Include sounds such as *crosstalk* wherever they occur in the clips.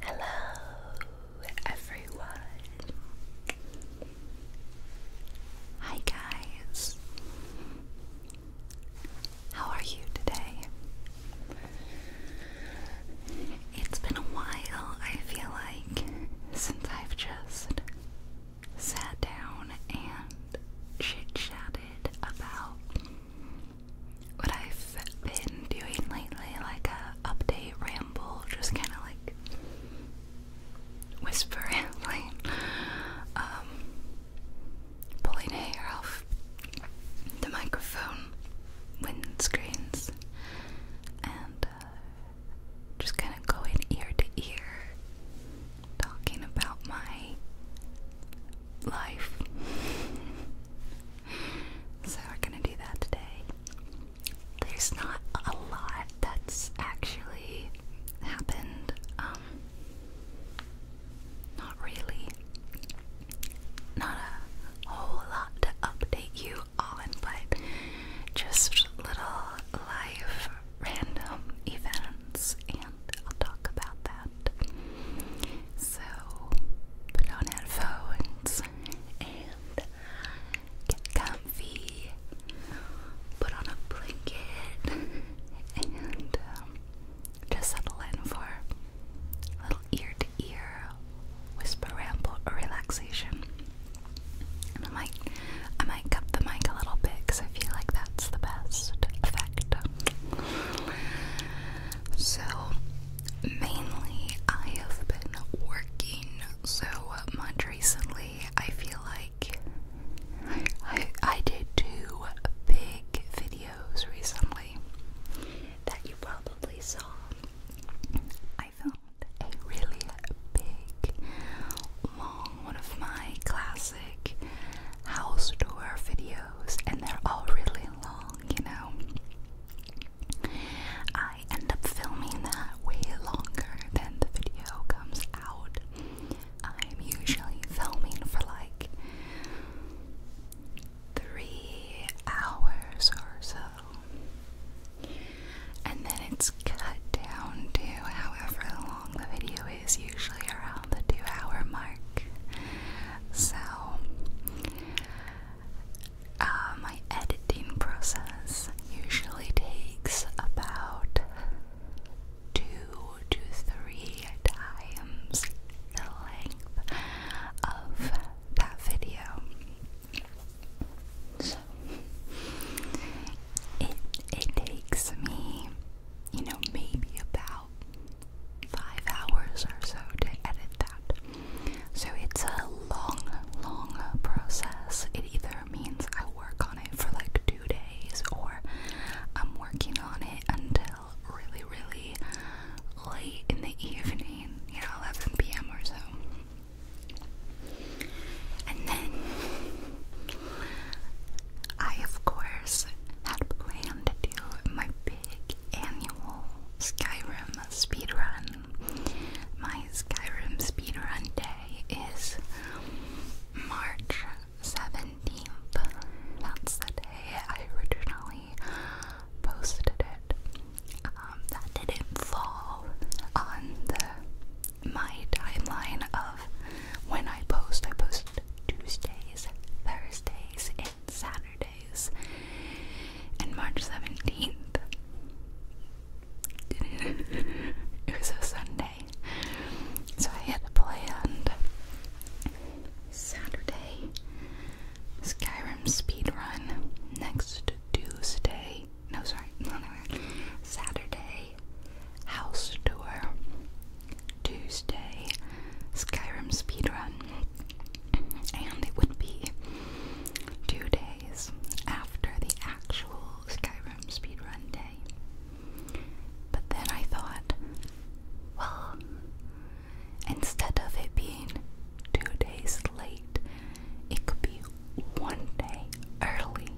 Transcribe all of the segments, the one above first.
Hello, everyone. Hi, guys. How are you today? It's been a while, I feel like, since I've just sat down and chit chatted about what I've been doing lately, like a update ramble, just kind of like whisper rambling, *laughs* um, pulling hair off the microphone windscreens, and uh, just kind of going ear to ear, talking about my life. so we're gonna do that today. There's not a lot that's actually happened. Um, not really. Not a whole lot to update you on, but just little life random events, and I'll talk about that. So put on headphones and get comfy, put on a blanket, and um, just settle in for a little ear to ear whisper ramble or relaxation. And I might, I might cup the mic a little bit because I feel like that's the best effect. So, mainly I have been working so much recently. I feel like I, I did two big videos recently that you probably saw. I filmed a really big, long one of my classic house tour videos and they're all really long, you know. I end up filming that way longer than the video comes out. I'm usually filming for like three hours or so. And then it's cut down to however long the video is, usually around the two hour mark. So, uh, my editing process usually takes about two to three times the length of that video. So, it, it takes me, you know, maybe about five hours or so to edit that. So it's a long, long process. It either means I work on it for like two days or I'm working on it until really, really late in the evening, you know, 11 p.m. or so. And then I, of course, had planned to do my annual Skyrim speedrun. My Skyrim speedrun day is March 17th. That's the day I originally posted it. Um, that didn't fall on the my timeline of when I post. I post Tuesdays, Thursdays, and Saturdays. And March 17th, *laughs* it was a Sunday. So I had planned Saturday Skyrim speedrun next Tuesday. No, sorry, *laughs* no, no, no. Saturday house tour. Tuesday Skyrim speedrun and it would be two days after the actual Skyrim speedrun day. But then I thought, well, instead of it being two days late, it could be one day early.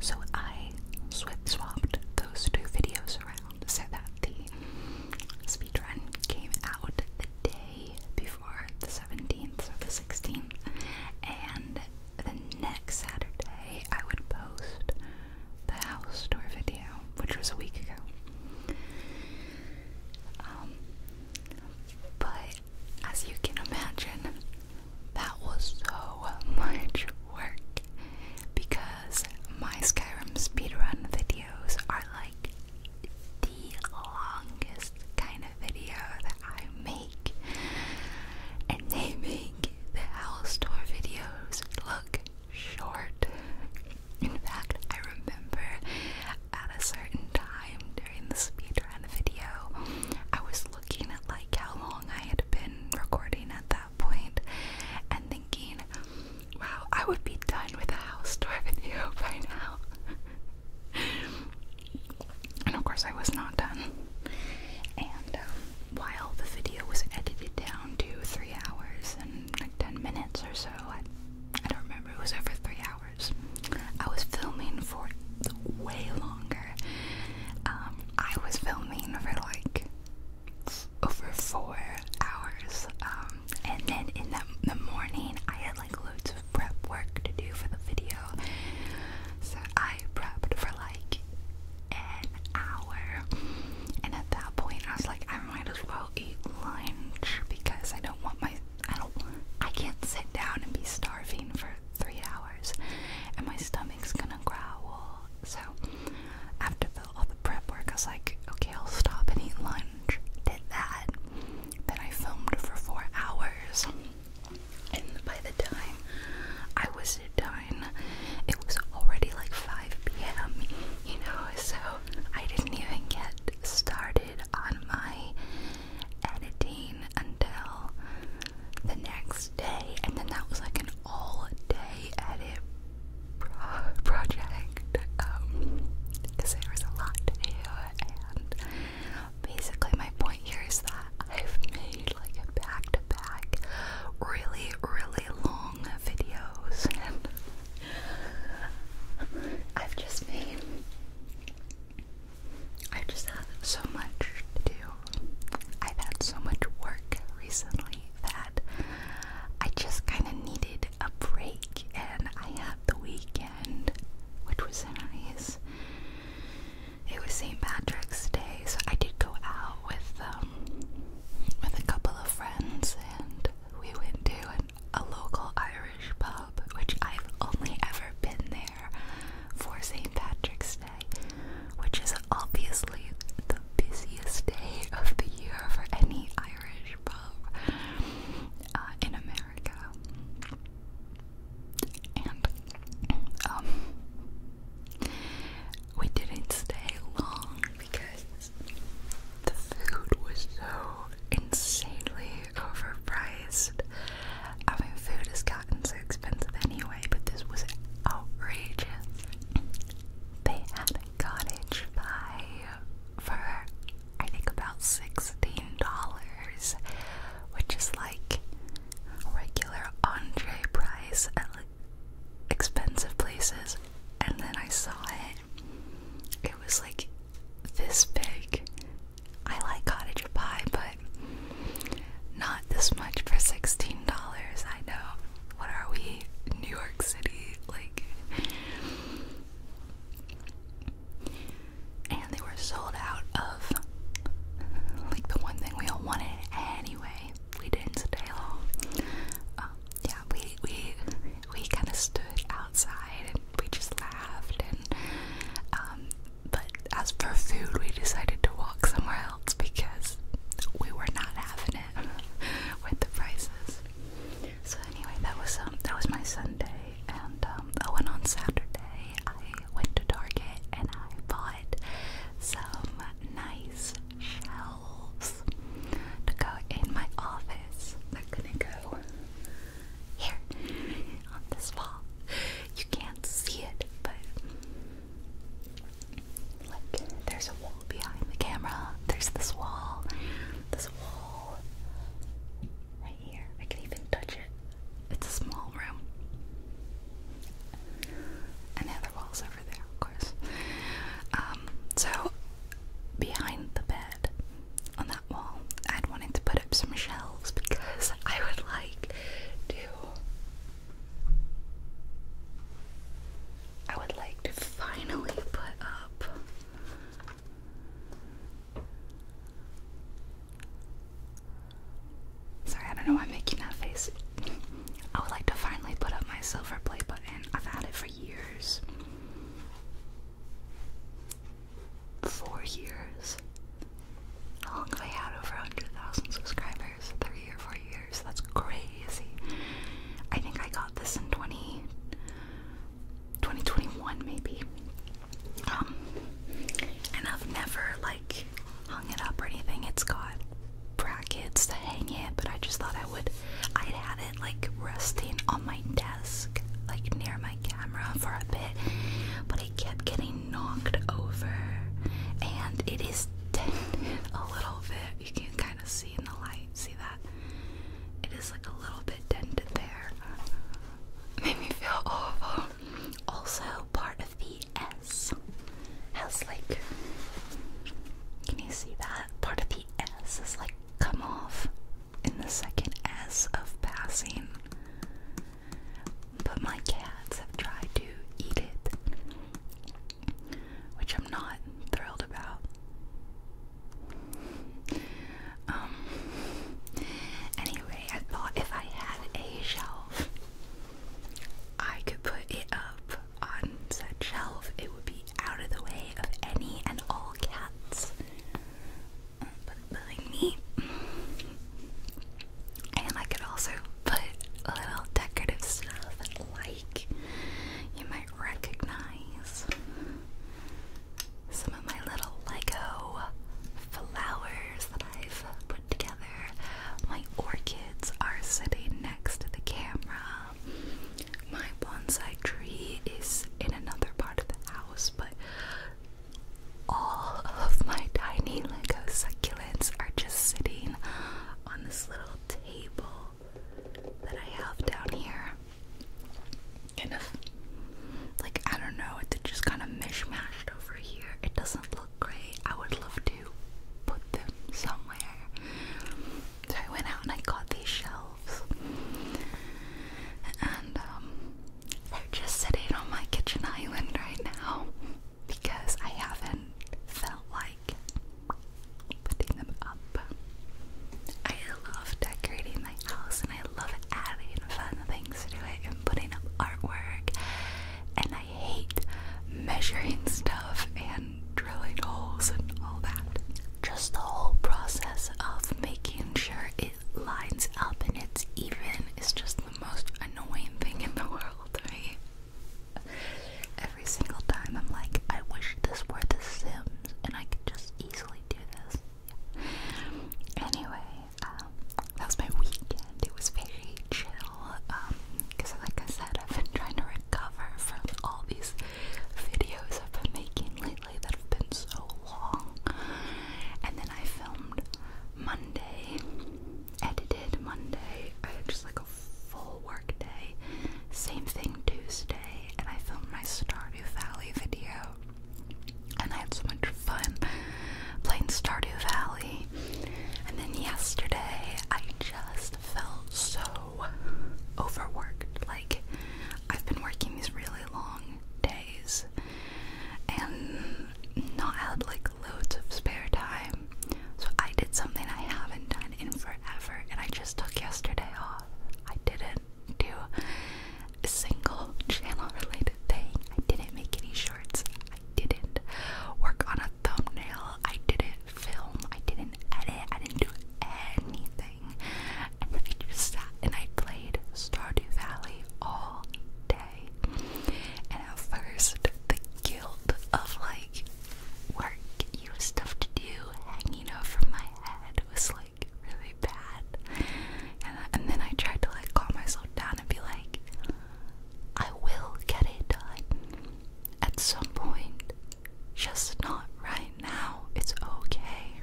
So I swip swapped those two videos around sound so that the speedrun came out the day before the 17th or the 16th and the next Saturday I would post the house tour video which was a week ago um, but as you can imagine that was so *laughs* much work because my Skyrim speedrun videos are like the longest kind of video that I make, and they make the Owl videos look short. In fact, I remember at a certain time during the speedrun video, I was looking at like how long I had been recording at that and thinking, wow, I would be done with the house tour video *laughs* by now. and of course, I was not done. And um, while the video was edited down to three hours and like 10 minutes or so, I, don't remember, it was over three hours. I was filming for way longer. Um, I was filming for like over four hours. Um, and then in the, the morning, I had like loads of prep work to do for the video. So I prepped for like an hour. And at that point, I was like, I might as well eat lunch because I don't want my. I don't. I can't sit down and be starving for three hours, and my stomach's gonna growl. So after all the prep work, I was like, okay, I'll stop and eat lunch. Did that. Then I filmed for four hours. And by the time I was done, it was already like 5 p.m., you know, so I didn't even get started on my editing until the next day. And then that was like an all day edit pro project because um, there was a lot to do and basically my point here is that I've made like a back to -back really really long videos and I've just made I've just had so much to do. I've had so much work recently that I just kind of needed a break and I had the weekend, which was nice. It was St. Patrick's Day, so I did go out with um, with a couple of friends and we went to a local Irish pub, which I've only ever been there for St. Patrick's Day, which is obviously the busiest day of the year for any Irish uh, in America. And um, we didn't stay long because the food was so insanely overpriced. I mean, food has gotten so expensive anyway, but this was outrageous. They had cottage pie for I think about sixteen dollars, which is like a regular entree price at like expensive places. And then I saw it; it was like this big. I like cottage pie, but not this much for sixteen dollars. I know what are we? New York City, like. And they were sold out of like the one thing we all wanted anyway. We didn't stay long. Um, yeah, we we we kind of stood outside and we just laughed and um. But as for food, we decided to walk somewhere else because we were not having it *laughs* with the prices. So anyway, that was um that was my Sunday, and um oh, and on Saturday I went to Target and I bought some nice shelves to go in my office. They're gonna go here on this wall. You can't see it, but like there's a wall behind the camera. There's this wall. This wall right here. I can even touch it. It's a small room. And the other wall's over there, of course. Um, so behind the bed on that wall, I'd wanted to put up some shelves because *laughs* I would like to I would like to finally put up Sorry, I don't know why I'm making that face. I would like to finally put up my silver play button. I've had it for years. Four years. How long have I had over 100,000 subscribers? Three or four years. That's great. I think I got this in 20, 2021 maybe. Um, and I've never like hung it up or anything. It's got brackets to hang it, but I just thought I would. I'd had it like resting on my desk, like near my camera for a bit, but it kept getting knocked over, and it is *laughs* dented a little bit you can kind of see in the light. See that? It is like a little bit dented there. *laughs* Made me feel awful. Also, part of the S has like, can you see that? Part of the S is like come off in the second S of passing. But my cats have tried to eat it which I'm not thrilled about. Um, anyway, I thought if I had a shelf, I could put it up on said shelf. It would be out of the way of any and all cats. But like me. And I could also put little decorative stuff like you might recognize some of my little Lego flowers that I've put together. My orchids are sitting next to the camera. My bonsai tree is in another part of the house, but all of my tiny Lego succulents are just sitting on this little table that I have down here. Kind like I don't know, it's just kind of mishmashed over here. It doesn't look great. I would love to put them somewhere. So I went out and I got these shelves, and um, they're just sitting on my kitchen island right now because I haven't felt like putting them up. I love decorating my house and I love adding fun things to it and putting up artwork. And I hate measuring *laughs* stuff and drilling holes and all that. Just the whole process of making sure it lines up and it's even is just the most annoying thing in the *laughs* world every single time I'm like, I wish this were The Sims and I could just easily do this. Anyway, um, that was my weekend. It was very chill because, um, like I said, I've been trying to recover from all these videos I've been making lately that have been so long. And then I filmed Monday, edited Monday. I had just like a full workday. Same thing Tuesday, and I filmed my Stardew Valley video, and I had so much fun playing Stardew Valley. And then yesterday, I just felt so overworked. Like, I've been working these really long days and not had like loads of spare time. So I did something I haven't done in forever and I just took yesterday off. I didn't do a single channel related thing. I didn't make any shorts. I didn't work on a thumbnail. I didn't film. I didn't edit. I didn't do anything. And I just sat and I played Stardew Valley all day. And at first, the guilt of like work, you have stuff to do, hanging over from my my was like really bad. And, then I tried to like calm myself down and be like, I will get it done at some point, just not right now. It's okay.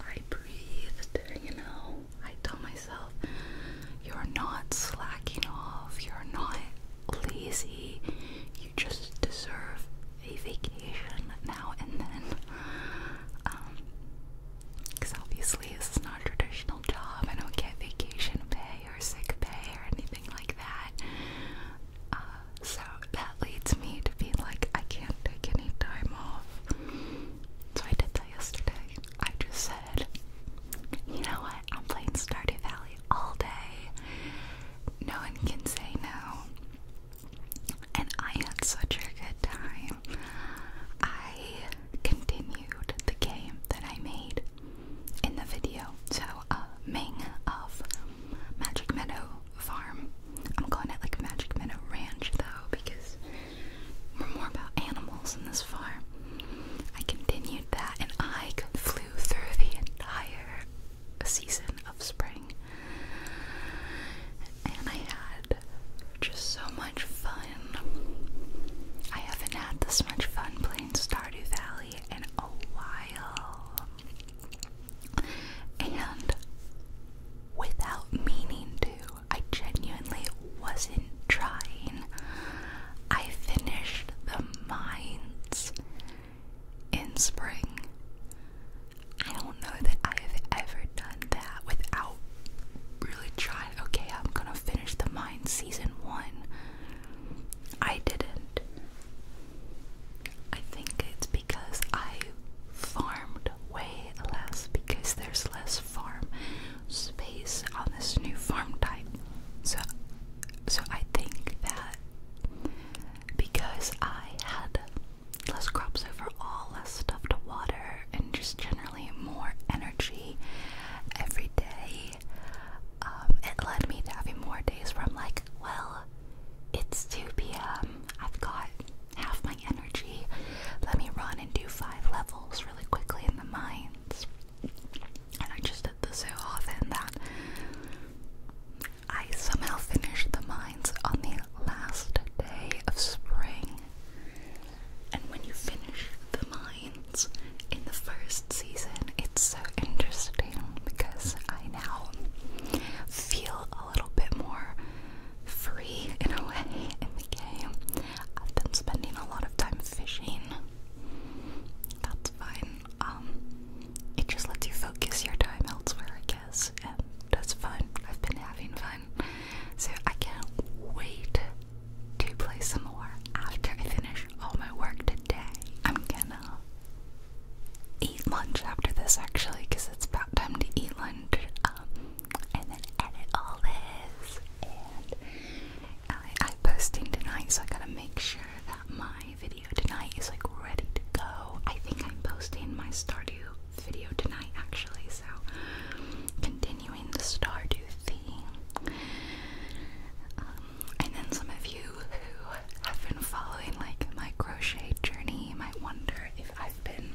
I breathed, you know. I told myself, you're not slacking off, you're not lazy. You just deserve a vacation now and then. because um, obviously this is not a traditional job. I don't get vacation pay or sick pay or anything like that. Uh, so that leads me to be like, I can't take any time off. So I did that yesterday. I just said, you know what? I'm playing Stardew Valley all day no one can say no. And I had such a good time. I continued the game that I made in the video. So, uh, Ming of Magic Meadow Farm. I'm calling it like Magic Meadow Ranch though, because we're more about animals in this farm. I continued that and I flew through the entire a season of spring. And I had just so much fun. I haven't had this much fun playing Stardew Valley in a while. And without meaning to, I genuinely wasn't trying. I finished the mines in spring. I don't know that I have ever done that without really trying. Okay, I'm gonna finish the mine season one. I didn't. I think it's because I farmed way less because there's less farm space on this new farm type. So so I think that because I had less crops overall, less stuff to water, and just generally more energy every day. Um, it led me to having more days where I'm like, well, it's 2 p.m., I've got half my energy, let me run and do five levels really quickly in the mines. And I just did this so often that I somehow finished the mines on the last day of spring. And when you finish the mines in the first season, it's so interesting because I now feel a little bit more free in a *laughs* way in the game. I've been spending a lot of time fishing. That's fine. Um, it just lets you focus your time elsewhere, I guess, and that's fun. I've been having fun, so I can't wait to play some more after I finish all my work today. I'm gonna eat lunch after this actually, because it's about time to eat lunch, um, and then edit all this. I, am posting tonight, so I gotta make sure that mine video tonight is like ready to go. I think I'm posting my Stardew video tonight actually, so continuing the Stardew theme. Um, and then some of you who have been following like my crochet journey might wonder if I've been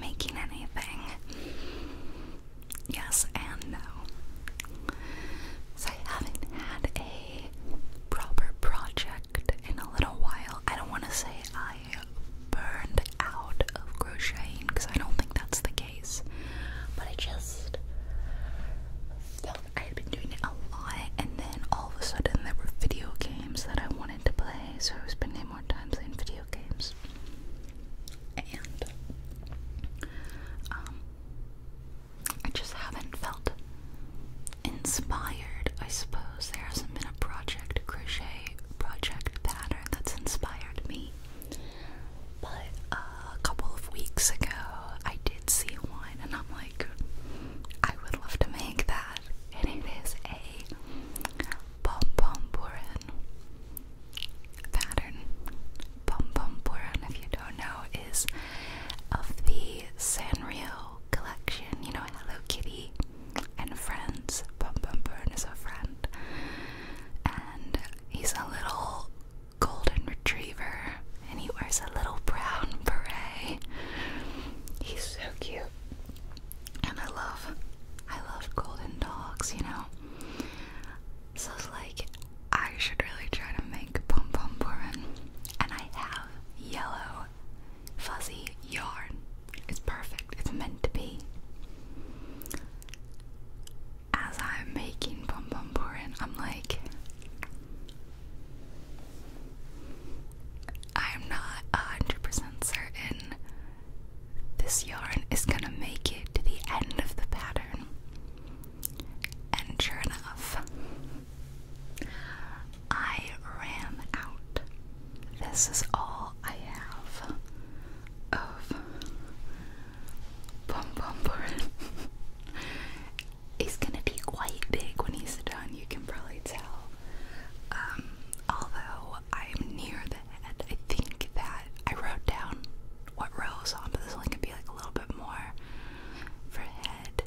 making anything. Yes and no. So I haven't had a proper project in a little while. I don't want to say I burned out of crocheting because I don't think that's the case, but I just felt I had been doing it a lot, and then all of a sudden there were video games that I wanted to play, so I was spending more time playing video games. And um, I just haven't felt inspired, I suppose. There hasn't been a project crochet project pattern that's inspired me. But uh, a couple of weeks ago, I did see one, and I'm like, I would love to make that. And it is a pom pom purin pattern. Pom pom purin, if you don't know, is of the Sanrio collection. You know, Hello Kitty and Friends. Pom Pom Burn is a friend. And he's a little golden retriever and he wears a little brown beret. He's so cute. And I love I love golden dogs, you know. So it's like I should really try to make pom pom purin. And I have yellow, fuzzy yarn. It's perfect, it's meant to be. As I'm making Pom Pom Purin, I'm like, I'm not 100% certain this yarn is gonna make it to the end of the pattern. And sure enough, I ran out. This is all I have of Bum Bumper. He's gonna be quite big when he's done, you can probably tell. Um, although I'm near the head, I think that I wrote down what row on, but this one could be like a little bit more for head.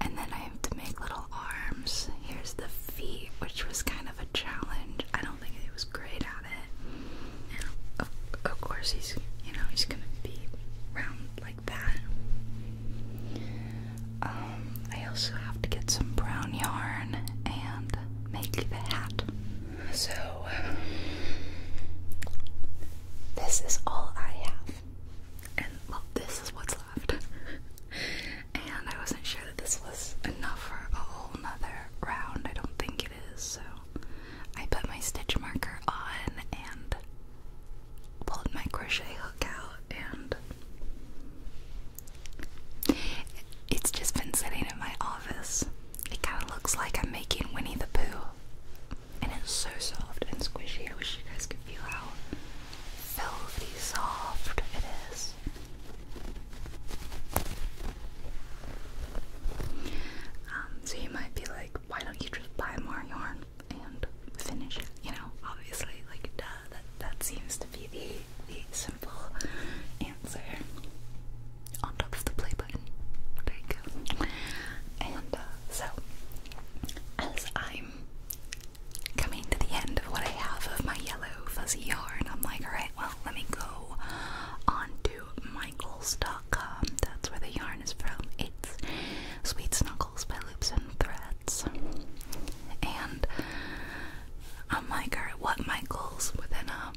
And then I have to make little arms. Here's the feet, which was kind of a challenge. I don't think it was great at it. And of, course, he's you know he's gonna be round like that. Um, I also have to get some brown yarn and make the hat. So this is all I have and this is what's left. *laughs* and I wasn't sure that this was enough for a whole nother round. I don't think it is, so I put my stitch marker on and pulled my crochet hook out, and it's just been sitting in my office. It kind of looks like I'm making Winnie the Pooh and it's so soft and squishy. I wish you guys could feel how velvety soft it is. Um, so you might be like, why don't you just buy more yarn and finish You know, obviously, like that that seems to be the the simple answer. On top of the play button. There you go. And uh, so, as I I'm coming to the end of what I have of my yellow fuzzy yarn. I'm like, alright, well, let me go on to Michaels.com. That's where the yarn is from. It's Sweet Snuggles by Loops and Threads. And I'm like, alright, what Michaels within a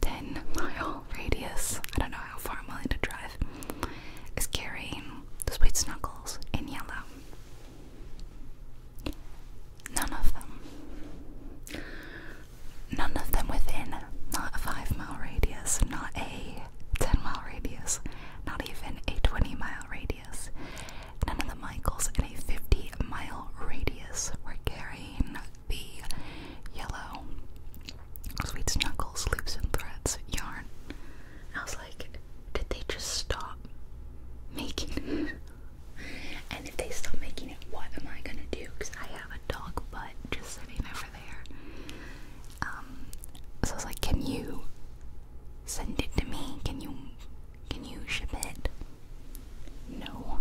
10 mile radius? I don't know how far I'm willing to drive. Is carrying Sweet Snuggles in yellow. None of them. None of them within not a 5 mile radius, not a 10 mile radius, not even a 20 mile radius. None of the Michaels in a 50 mile radius were carrying the yellow Sweet Snuggles loops and threads yarn. I was like, did they just stop making it? and if they stop making it, what am I gonna do? Because I have a dog butt just sitting over there. Um, so I was like, can you send it to me? Can you, can you ship it? No,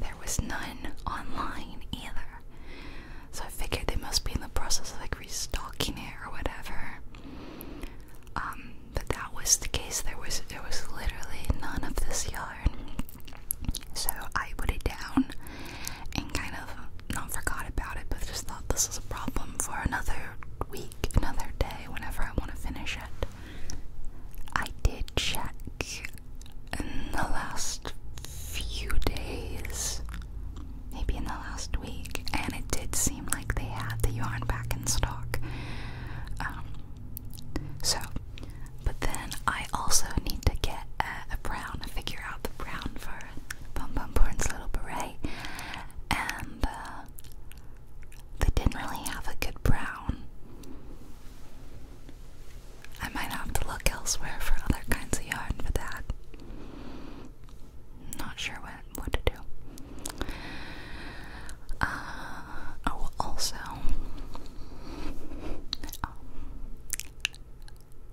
there was none online either. So I figured they must be in the process of like restocking it or whatever. Um, but that was the case. There was there was literally none of this yarn. So I put it down and kind of not forgot about it, but just thought this was a problem for another week, another day, whenever I want to finish it. I did check in the last few days maybe in the last week, and it did seem like they had the yarn back in stock. Um, so, but then I also need to get a, a brown, figure out the brown for Bum Bum Porn's little beret, and uh, they didn't really have a good brown. I might have to look elsewhere for other kinds of yarn for that not sure what what to do. Uh, oh, also, um,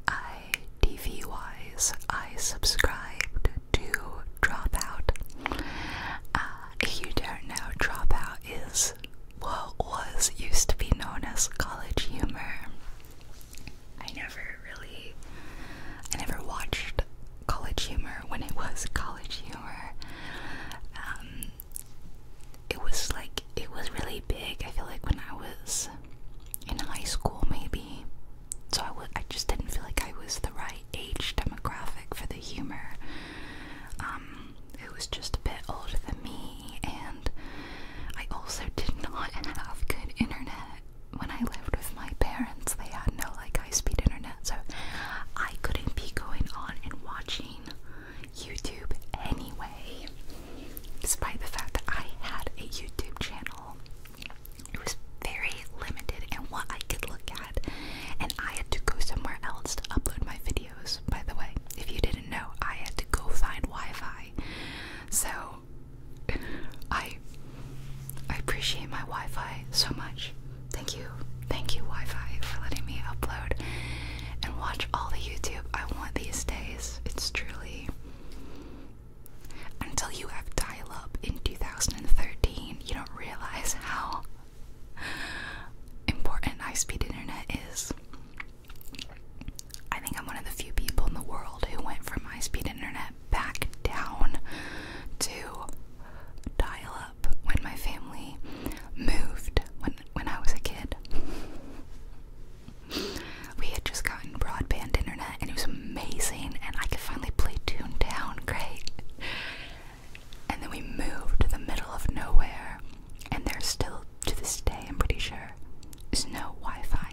I TV wise, I subscribed to Dropout. Uh, if you don't know, Dropout is what was used to be known as college humor. I never really, I never watched College Humor when it was College Humor. Um, it was like, it was really big, I feel like when I was in high school maybe. So I just didn't feel like I was the right age demographic for the humor. Um, it was just a bit older than me, and I also did not *laughs* have good internet when I lived with my parents, they had no like high-speed internet, so I couldn't be going on and watching YouTube anyway. Despite the fact that I had a YouTube channel, it was very limited in what I could look at, and I had to go somewhere else to upload my videos. By the way, if you didn't know, I had to go find Wi-Fi. So I I appreciate my Wi-Fi so much. Thank you. Thank you Wi-Fi for letting me upload and watch all the YouTube I want these days. It's truly until you have dial-up in 2013, you don't realize how important high-speed internet is. I think I'm one of the few people in the world who went from high speed internet back down to dial up when my family moved when when I was a kid. We had just gotten broadband internet and it was amazing and I could finally play Toontown great. And then we moved to the middle of nowhere and there's still to this day I'm pretty sure is no Wi-Fi.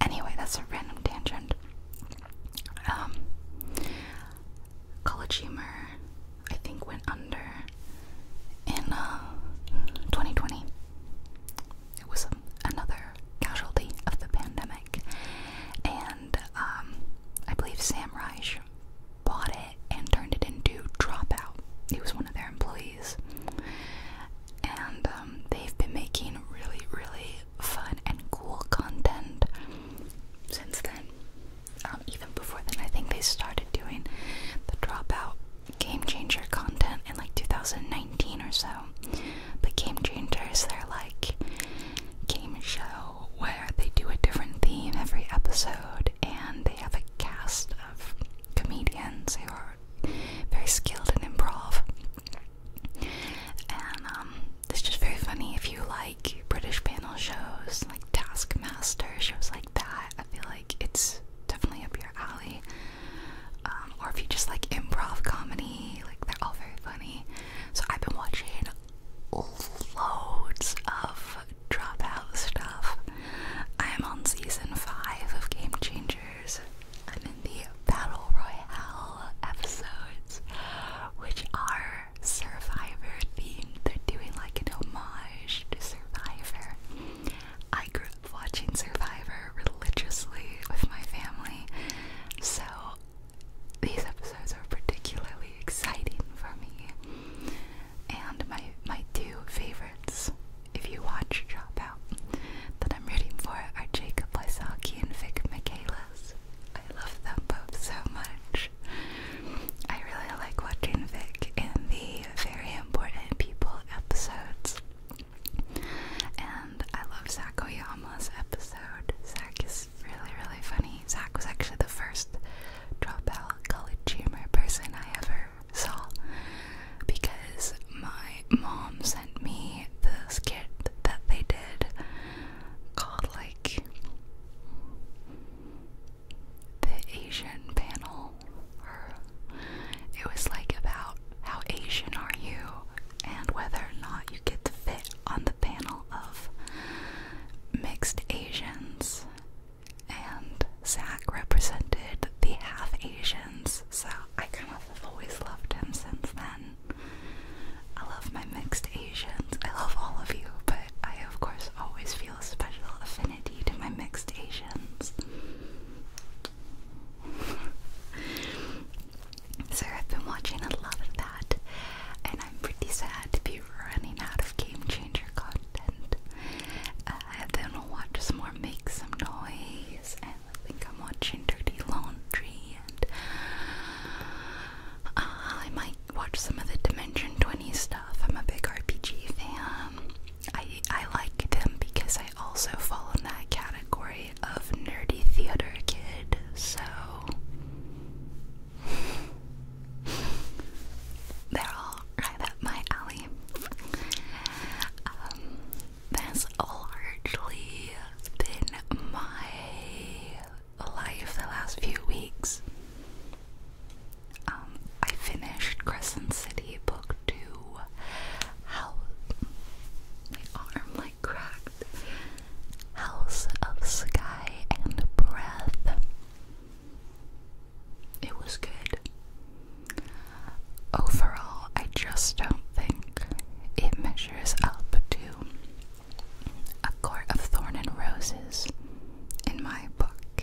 Anyway, that's a random tangent. Um, College Humor, I think, went under in 2020. Uh, it was another casualty of the pandemic, and um, I believe Sam Reich bought it and turned it into Dropout. He was one of their employees, and um, they've been making really, really fun and cool content since then. Um, even before then, I think they started doing the Dropout Game Changer content in like 2019 or so. But Game Changers, they're like game show where they do a different theme every episode and they have a cast of comedians who are very skilled in improv and um, it's just very funny if you like British panel shows, like Taskmaster, shows like that. I feel like it's definitely up your alley. Um, or if you just like improv comedy, like they're all very funny. So I've been watching loads of dropout stuff. I am on season five of Game Changers and in the Battle Royale episodes, which are Survivor themed. They're doing like an homage to Survivor. I grew up watching Survivor religiously with my family, so these episodes are particularly exciting for me. And my my two favorites if you watch Drop Out, that I'm rooting for are Jacob Lysaki and Vic Michaelis. I love them both so much. I really like watching Vic in the Very Important People episodes. And I love Zach Oyama's episode. Zach is really, really funny. Zach was actually the first Drop Out college humor person I ever saw because my mom sent me the skit that they did called like the Asian panel or it was like about how Asian are you and whether or not you get to fit on the panel of mixed Asians and Zach represented the half Asian so I kind of have always loved him since then. I love my mixed Asians. I love all of you, but I of course always feel a special affinity to my mixed Asians. so *laughs* I've been watching a lot of that, and I'm pretty sad to be running out of game changer content. Uh, then will watch some more Make Some Noise and I think I'm watching Dirty Laundry and uh, I might watch some of the Dimension 20 stuff. I'm a big RPG fan. I, I like them because I also fall in that category of nerdy theater kid, so *laughs* they're all right up my alley. Um, that's largely been my life the last few weeks. Um, I finished Crescent City book two. How my arm like cracked. House of Sky and Breath. It was good overall, I just don't think it measures up to A Court of thorns and Roses in my book.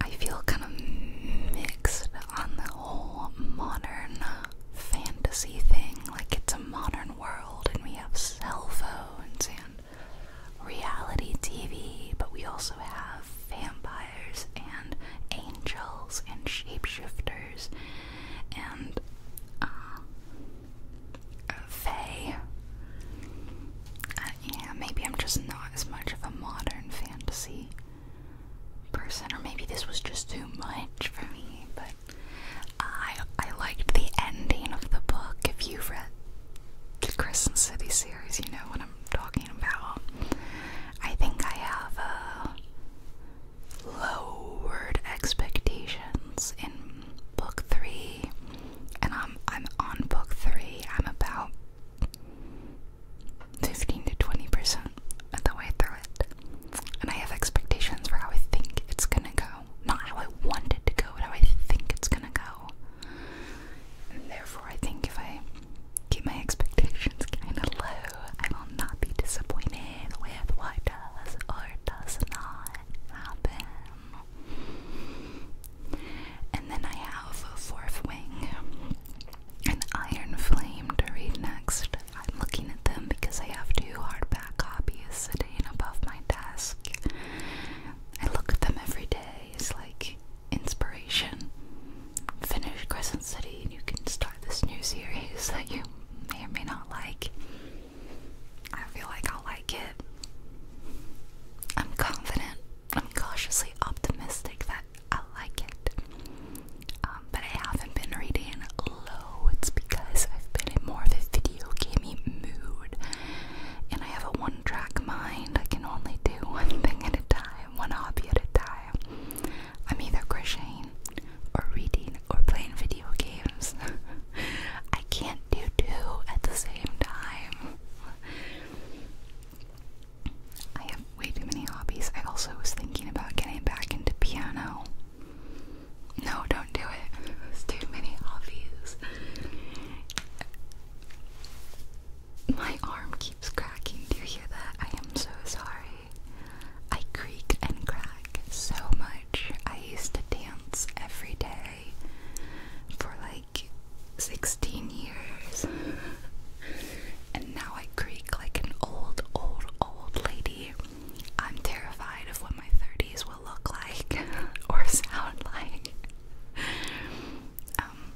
I feel kind of mixed on the whole modern fantasy thing. Like, it's a modern world, and we have cell phones and reality TV, but we also have vampires and angels and shapeshifters and uh, fae. Uh, yeah, maybe I'm just not as much of a modern fantasy person, or maybe this was just too much for me. But I I liked the ending of the book. If you read the Crescent City series, you know what I'm talking about. I think I have uh, lowered expectations in book three, and I'm I'm on book three. I'm about fifteen to twenty percent of the way through it, and I have expectations for how I think it's gonna go, not how I want it to go, but how I think it's gonna go. And therefore, I think if I keep my expectations kind of low. I will not be disappointed with what does or does not happen. And then I have a Fourth Wing, an Iron Flame to read next. I'm looking at them because I have two hardback copies sitting above my desk. I look at them every day It's like inspiration finish Crescent City and you can start this new series that you may or may not like. I feel like I'll like it. I'm confident, I'm cautiously optimistic that i like it. Um, but I haven't been reading loads because I've been in more of a video gamey mood. And I have a one track mind. I can only do *laughs* one thing at a time, one hobby at a time. I'm either crocheting or reading or playing video games. *laughs* I can't do two at the same time. *laughs* I have way too many hobbies. I also was thinking about getting back into piano. No, don't do it. *laughs* It's too many hobbies. My arm keeps cracking. Do you hear that? I am so sorry. I creak and crack so much. I used to dance every day for like 16 years. and now I creak like an old, old, old lady. I'm terrified of what my 30s will look like *laughs* or sound like. Um,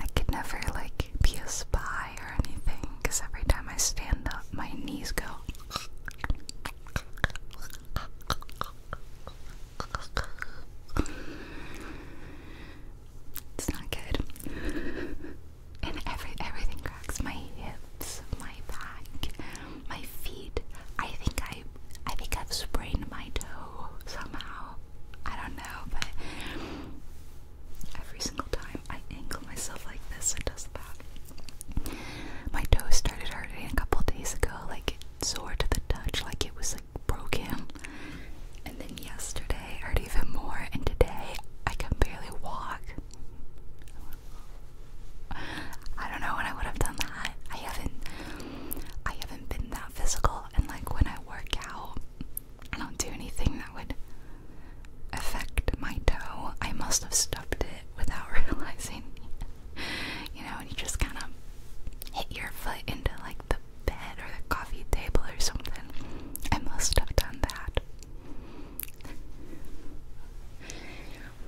I could never like be a spy or anything because every time I stand up, my knees go. It's not good. And every everything cracks. My hips, my back, my feet. I think I I think I've sprained my toe somehow. I don't know, but Every single time I angle myself like this, it does that. My toes started hurting a couple days ago, like it's sore to the touch, like it was like broken. And then yesterday hurt even more, and today I can barely walk. I don't know when I would have done that. I haven't I haven't been that physical and like when I work out not do anything that would affect my toe. I must have stubbed it without *laughs* realizing. you know, and you just kind of hit your foot into like the bed or the coffee table or something. I must have done that.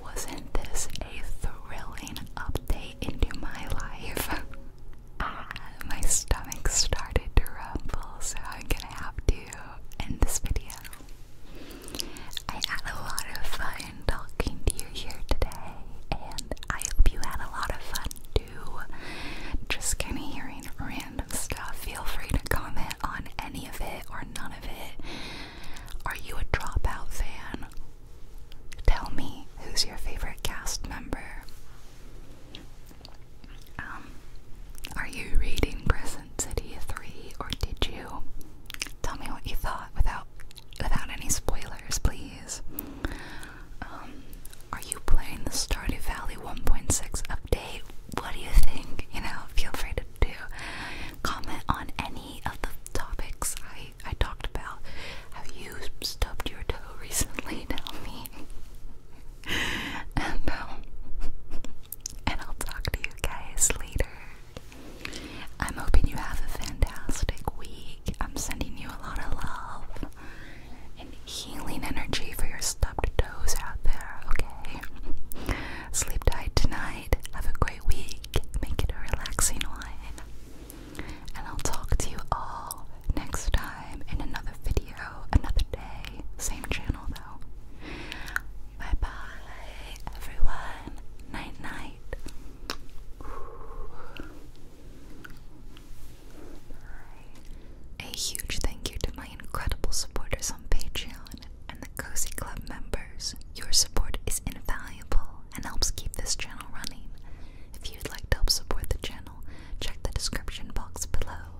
Wasn't this a thrilling update into my life? *laughs* Ah, my stomach started to rumble, so I'm gonna have to in this video. I had a lot of fun talking to you here today, and I hope you had a lot of fun too. Just kind of hearing random stuff. Feel free to comment on any of it or none of it. Are you a dropout fan? Tell me who's your favorite cast member. Um, are you reading Crescent City 3 or did you? Tell me what you thought without without any spoilers, please. Um, are you playing the Stardew Valley 1.6 update? What do you think? You know, feel free to do comment on any of the topics I I talked about. Have you stubbed your toe *laughs* recently? Tell me. *laughs* and um, and I'll talk to you guys later. I'm hoping you have a fantastic week. I'm sending you a lot of love and healing energy for your stubbed toes out there. Okay, sleep tight tonight. Have a great week. Make it a relaxing one. And I'll talk to you all next time in another video, another day, same channel. Bye bye everyone. Night night. A huge thank you to my incredible supporters on Patreon and the Cozy Club members. Your support is invaluable and helps keep this channel running. If you'd like to help support the channel, check the description box below.